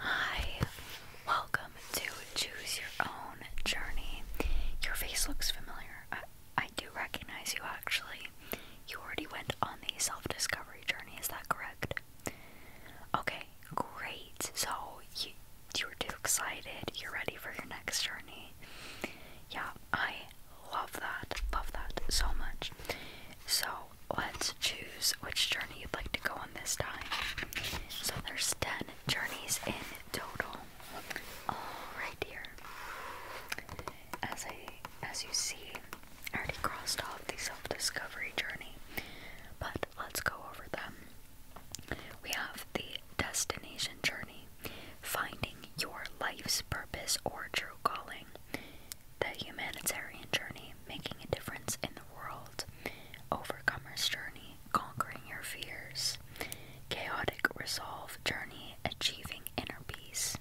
Hi, welcome to Choose Your Own Journey. Your face looks familiar. I, do recognize you actually. You already went on the self discovery journey, is that correct? Okay, great. So, you, you are too excited, you're ready for your next journey. Yeah, I love that, love that so much. So let's choose which journey you'd like to go on this time. So there's 10 journeys in total. All right here. As I as you see, I already crossed off the self-discovery journey. But let's go over them. We have the destination journey, finding your life's purpose or true calling, the humanitarian journey, making a difference in the world, overcomer's journey, conquering your fears, chaotic resolve journey, achieving inner peace,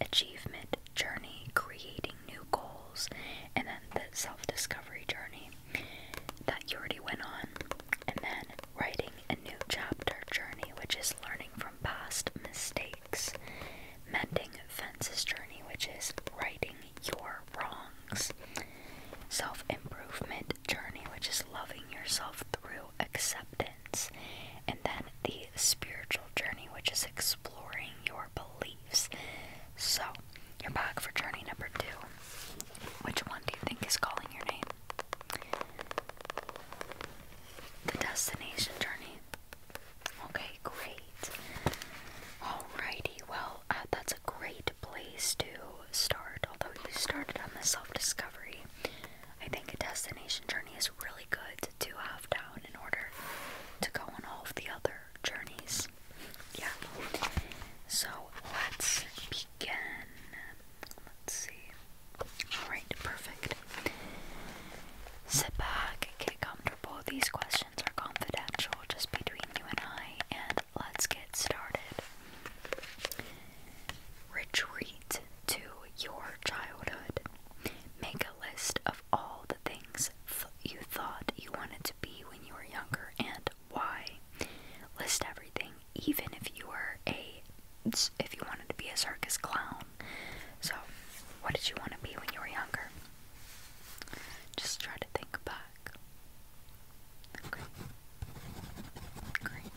achievement journey, creating new goals, and then the self discovery journey that you already went on, and then writing a new chapter journey, which is learning from past mistakes, mending fences journey, which is righting your wrongs, self improvement journey, which is loving yourself through acceptance, and then the spiritual journey, which is exploring your beliefs. So, you're back for journey number two. Which one do you think is calling your name? The destination journey. Okay, great. All righty. well, uh, that's a great place to start. Although you started on the self discovery, I think a destination journey is really good to have down in order to go on all the other journeys. Yeah. So let's begin. Let's see. Alright, perfect. Sit back, get comfortable. These questions are confidential, just between you and I, and let's get started. Retreat to your childhood. Make a list of all the things you thought you wanted to be when you were younger and why. List everything, even if you were a if you wanted to be a circus clown. So, what did you want to be when you were younger? Just try to think back. Okay. Great.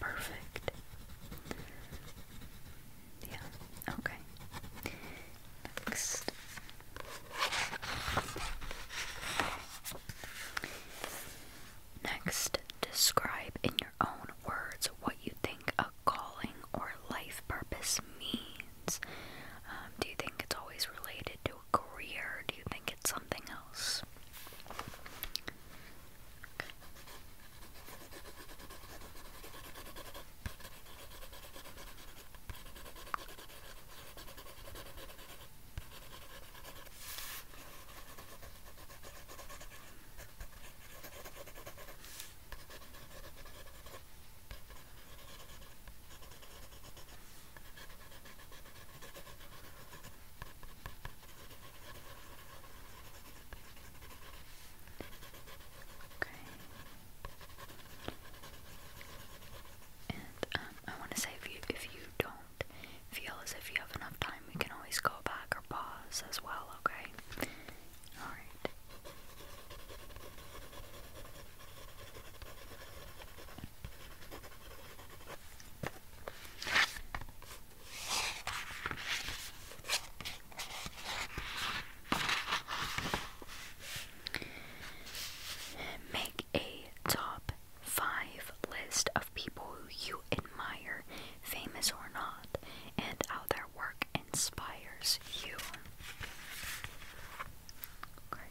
Perfect. Yeah, okay. Next. Next, describe in your own words what you think a calling or life purpose means. Um, do you think it's always related to a career? Do you think it's something else? Okay. And um, I want to say if you if you don't feel as if you have enough time, we can always go back or pause as well, okay? Alright. Make a top 5. List of people who you admire, famous or not, and how their work inspires you. Okay.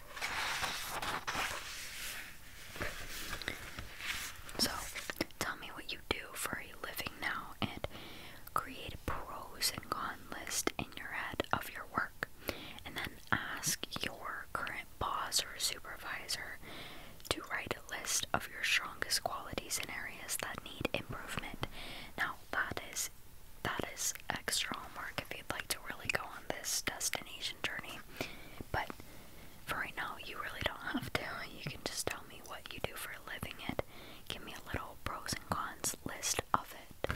So, tell me what you do for a living now and create a pros and cons list in your head of your work. And then ask your current boss or supervisor to write a list of your strongest qualities and areas that need improvement. Now, that is that is extra homework if you'd like to really go on this destination journey. But for right now, you really don't have to. You can just tell me what you do for a living and give me a little pros and cons list of it.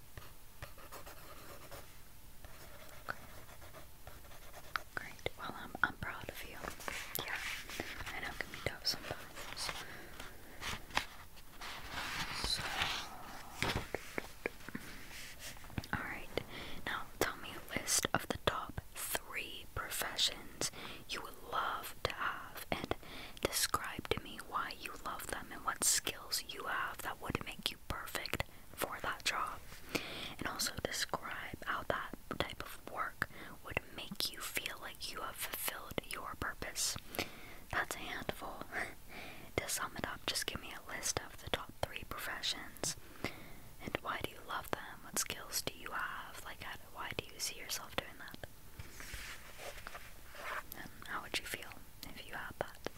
Great. Well, I'm I'm proud of you. Yeah. I know it can be tough sometimes. So, all right. Now tell me a list of the top three professions you would love to have, and describe to me why you love them and what skills skills you have that would make you perfect for that job. And also describe how that type of work would make you feel like you have fulfilled your purpose. That's a handful. to sum it up, just give me a list of the top three professions and why do you love them? What skills do you have? Like, how, why do you see yourself doing that? And how would you feel if you had that?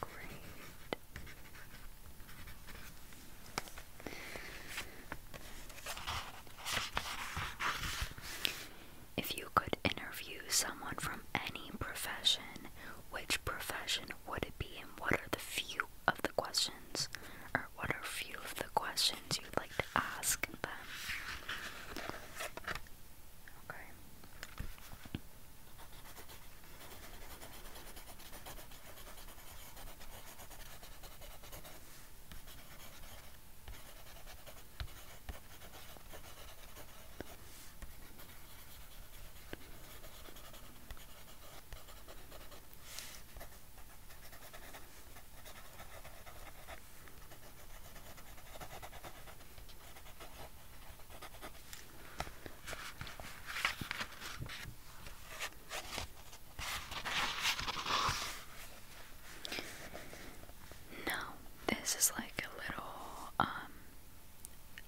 Great. If you could interview someone from any profession, which profession would it be, and what are the few of the questions, or what are few of the questions you'd like to ask them? Okay. Now, this is like a little um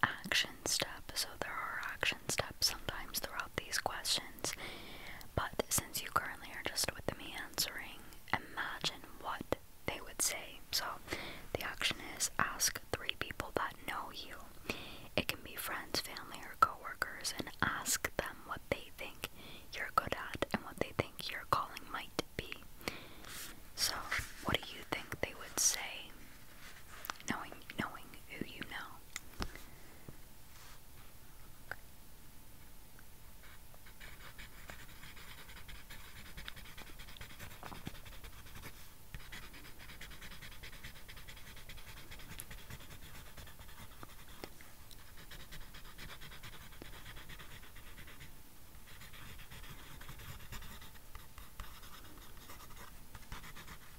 action step. So there are action steps sometimes throughout these questions. But since you currently are just with me answering, imagine what they would say. So the action is ask three people that know you. It can be friends, family, or coworkers, and ask them what they think you're good at and what they think your calling might be. So, what do you think they would say? knowing knowing who you know. Okay. Okay.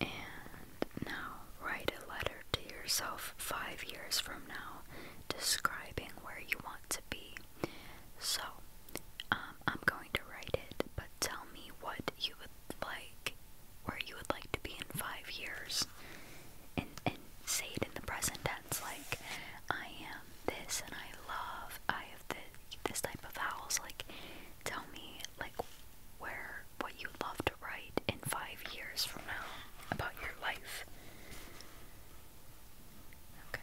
And now write a letter to yourself five years from now describing where you want to be. So, um, I'm going to write it, but tell me what you would like, where you would like to be in five years. And, and say it in the present tense like, I am this and I love, I have this this type of house, like tell me like where what you love to write in five years from now about your life. Okay.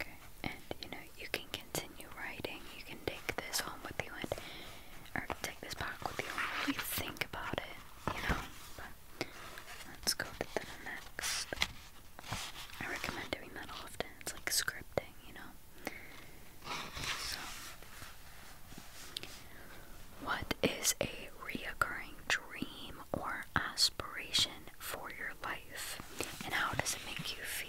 Okay, and you know, you can continue writing, you can take this home with you and or take this back with you think about it, you know. let's go to the next I recommend doing that often. It's like scripting, you know? So, what is a reoccurring dream or aspiration for your life, and how does it make you feel?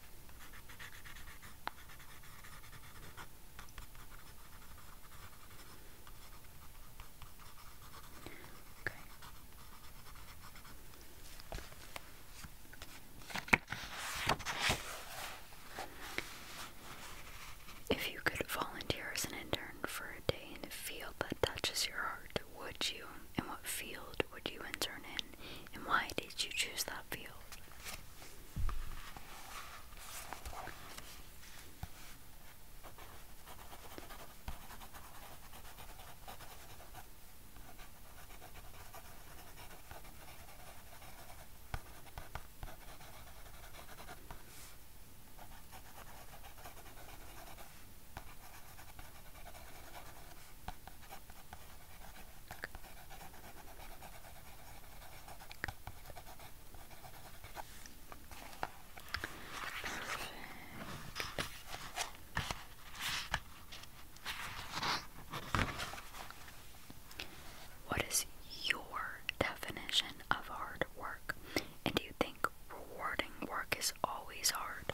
If you could volunteer as an intern for a day in a field that touches your heart, would you? and what field would you intern in, and why did you choose that field? What is your definition of hard work? And do you think rewarding work is always hard?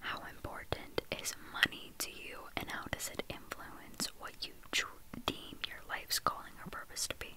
How important is money to you, and how does it influence what you deem your life's calling or purpose to be?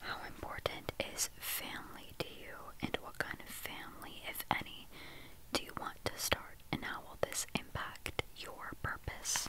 How important is family to you, and what kind of family, if any, do you want to start, and how will this impact your purpose?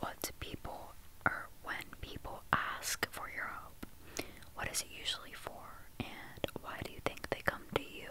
What people or when people ask for your help, what is it usually for, and why do you think they come to you?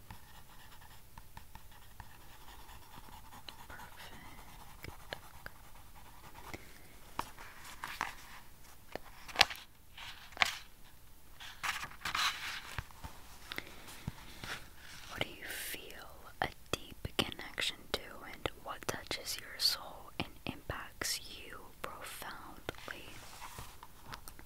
What do you feel a deep connection to, and what touches your soul and impacts you profoundly?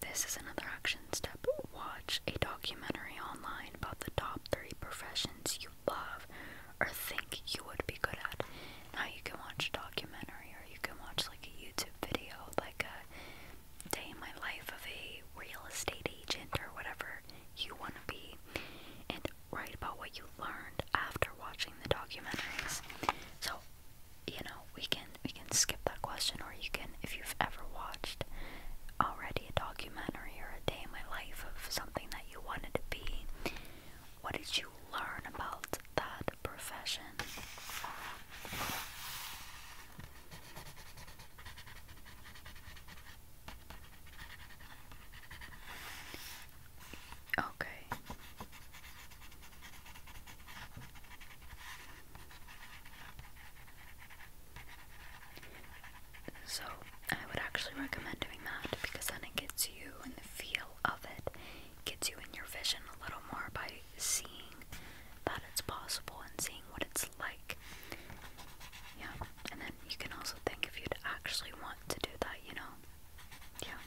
This is another action step. Watch a documentary online about the top three professions you love or think you would be good at. Now you can watch a documentary or you can watch like a YouTube video, like a day in my life of a real estate agent or whatever you want to be, and write about what you learned after watching the documentaries. So, you know, we can we can skip that question, or you can, if you've ever watched already a documentary documentary or a day in my life of something that you wanted to be, what did you learn about that profession? Okay. So I would actually recommend doing that because then it gets you in the feel of it, gets you in your vision a little more by seeing that it's possible and seeing what it's like. Yeah, and then you can also think if you'd actually want to do that, you know? Yeah.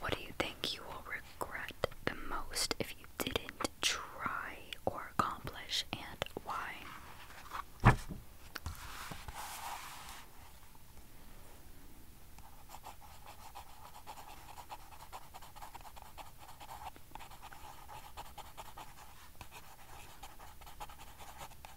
What do you think you will regret the most if you didn't try or accomplish, and why?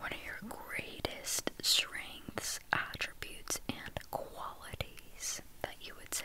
What are your greatest strengths, attributes, and qualities that you would say?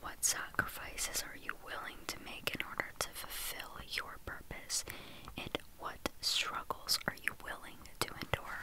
What sacrifices are you willing to make in order to fulfill your purpose? And what struggles are you willing to endure?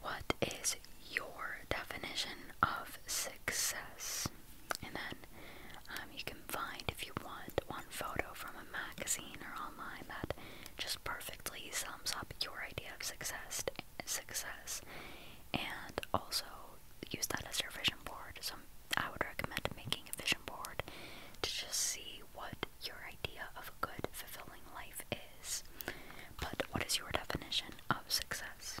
what is your definition of success? And then um, you can find, if you want, one photo from a magazine or online that just perfectly sums up your idea of success. Success, and also use that as your vision board. So I would recommend making a vision board to just see what your idea of a good, fulfilling life is. But what is your definition of success?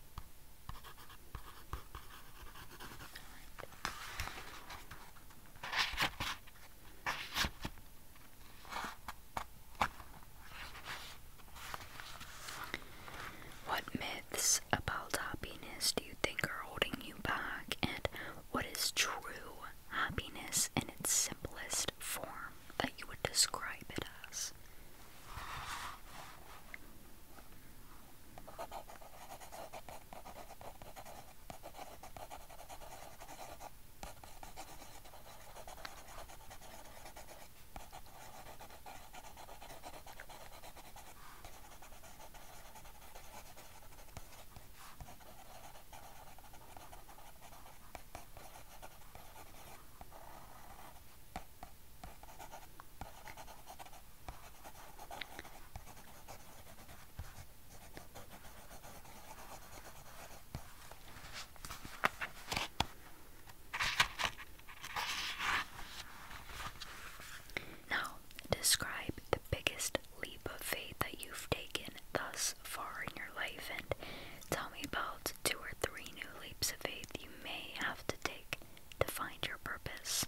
What myths about happiness do you think are holding you back, and what is true happiness in its simplest form? that you would describe it as. Now, describe the biggest leap of faith that you've taken thus far in your life and tell me about two or three new leaps of faith you may have to take to find your purpose.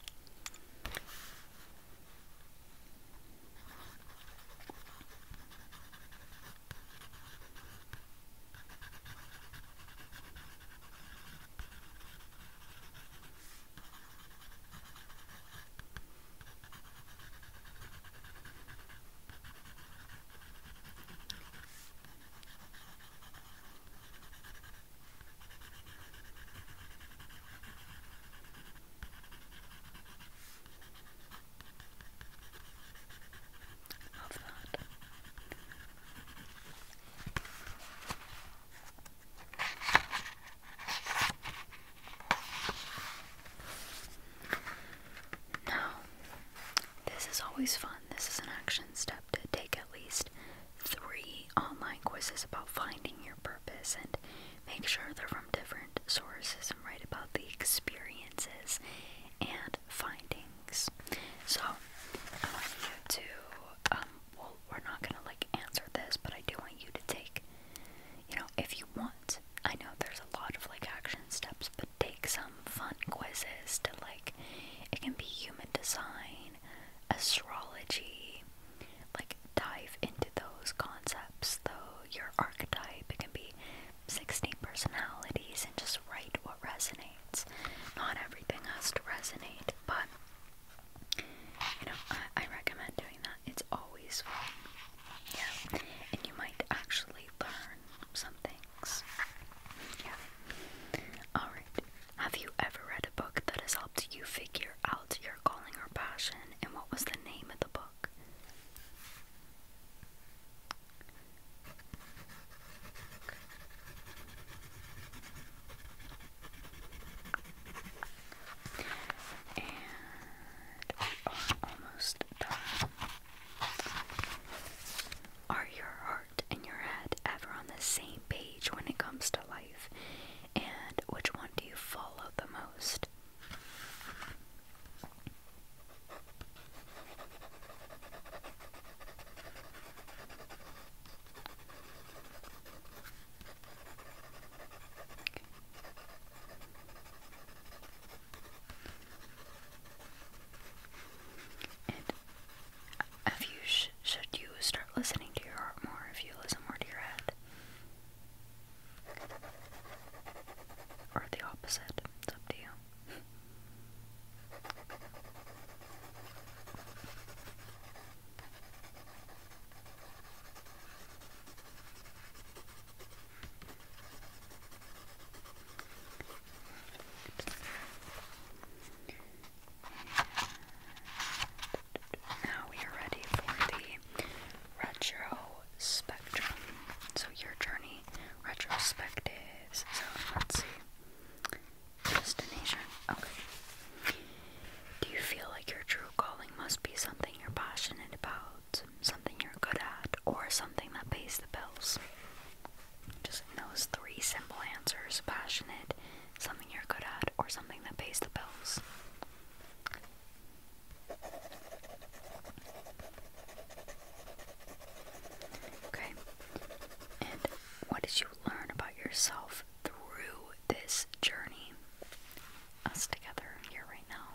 Love that. Now, this is always fun this is an action step to take at least three online quizzes about finding your purpose and make sure they're from different sources and write about the experiences and findings. So, I want you to, um, well, we're not gonna like answer this, but I do want you to take, you know, if you want. I know there's a lot of like action steps, but take some fun quizzes to like it can be human design, astrology, like dive into those concepts though, your archetype, it can be 16 personalities and just write what resonates. Not everything has to resonate, but you know, I, recommend doing that. It's always fun. Yeah. And you might actually learn something yeah. Alright. Have you ever read a book that has helped you figure out your calling or passion? And what was the name of the book? And we are almost done. Are your heart and your head ever on the same page when it comes to life? And which one do you follow the most? And you should you start listening to your heart more if you listen more to your head? Or the opposite, it's up to you now we are ready for the retro spectrum. So your journey retrospective. So let's see. Destination. Okay. Do you feel like your true calling must be something you're passionate about, something you're good at, or something that pays the bills? just those three simple answers passionate, something you're good at, or something that pays the bills. Okay, and what did you learn about yourself through this journey? Us together here right now.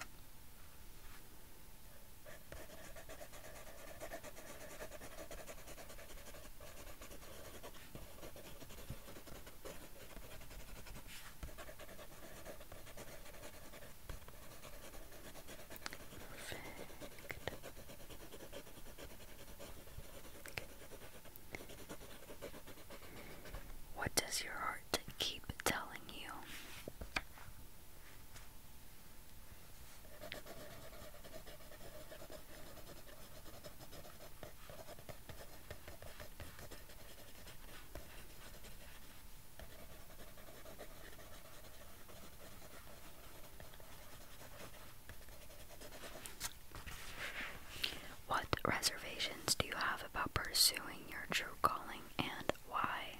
What does your heart keep telling you? What reservations do you have about pursuing your true calling and why?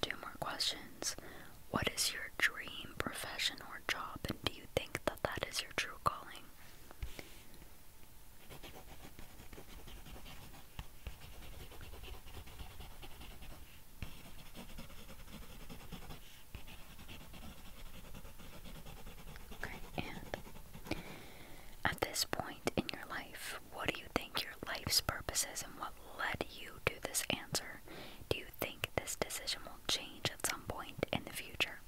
Two more questions. What is your dream profession or job, and do you think that that is your true calling? Okay, at this point in your life, what do you think your life's purpose is, and led you to this answer? Do you think this decision will change at some point in the future?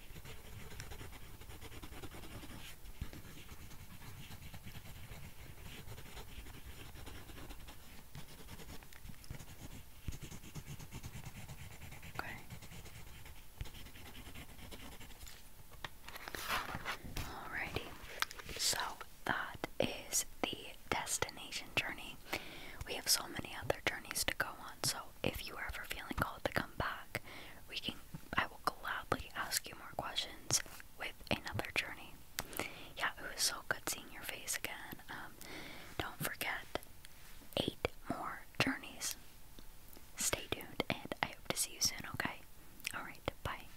Okay. Alrighty. So that is the destination journey. We have so many other journeys to go on, so if you are ever feeling called to come back, we can I will gladly ask you more questions with another journey. Yeah, it was so good seeing your face again. Um, don't forget eight more journeys. Stay tuned and I hope to see you soon, okay? Alright, bye.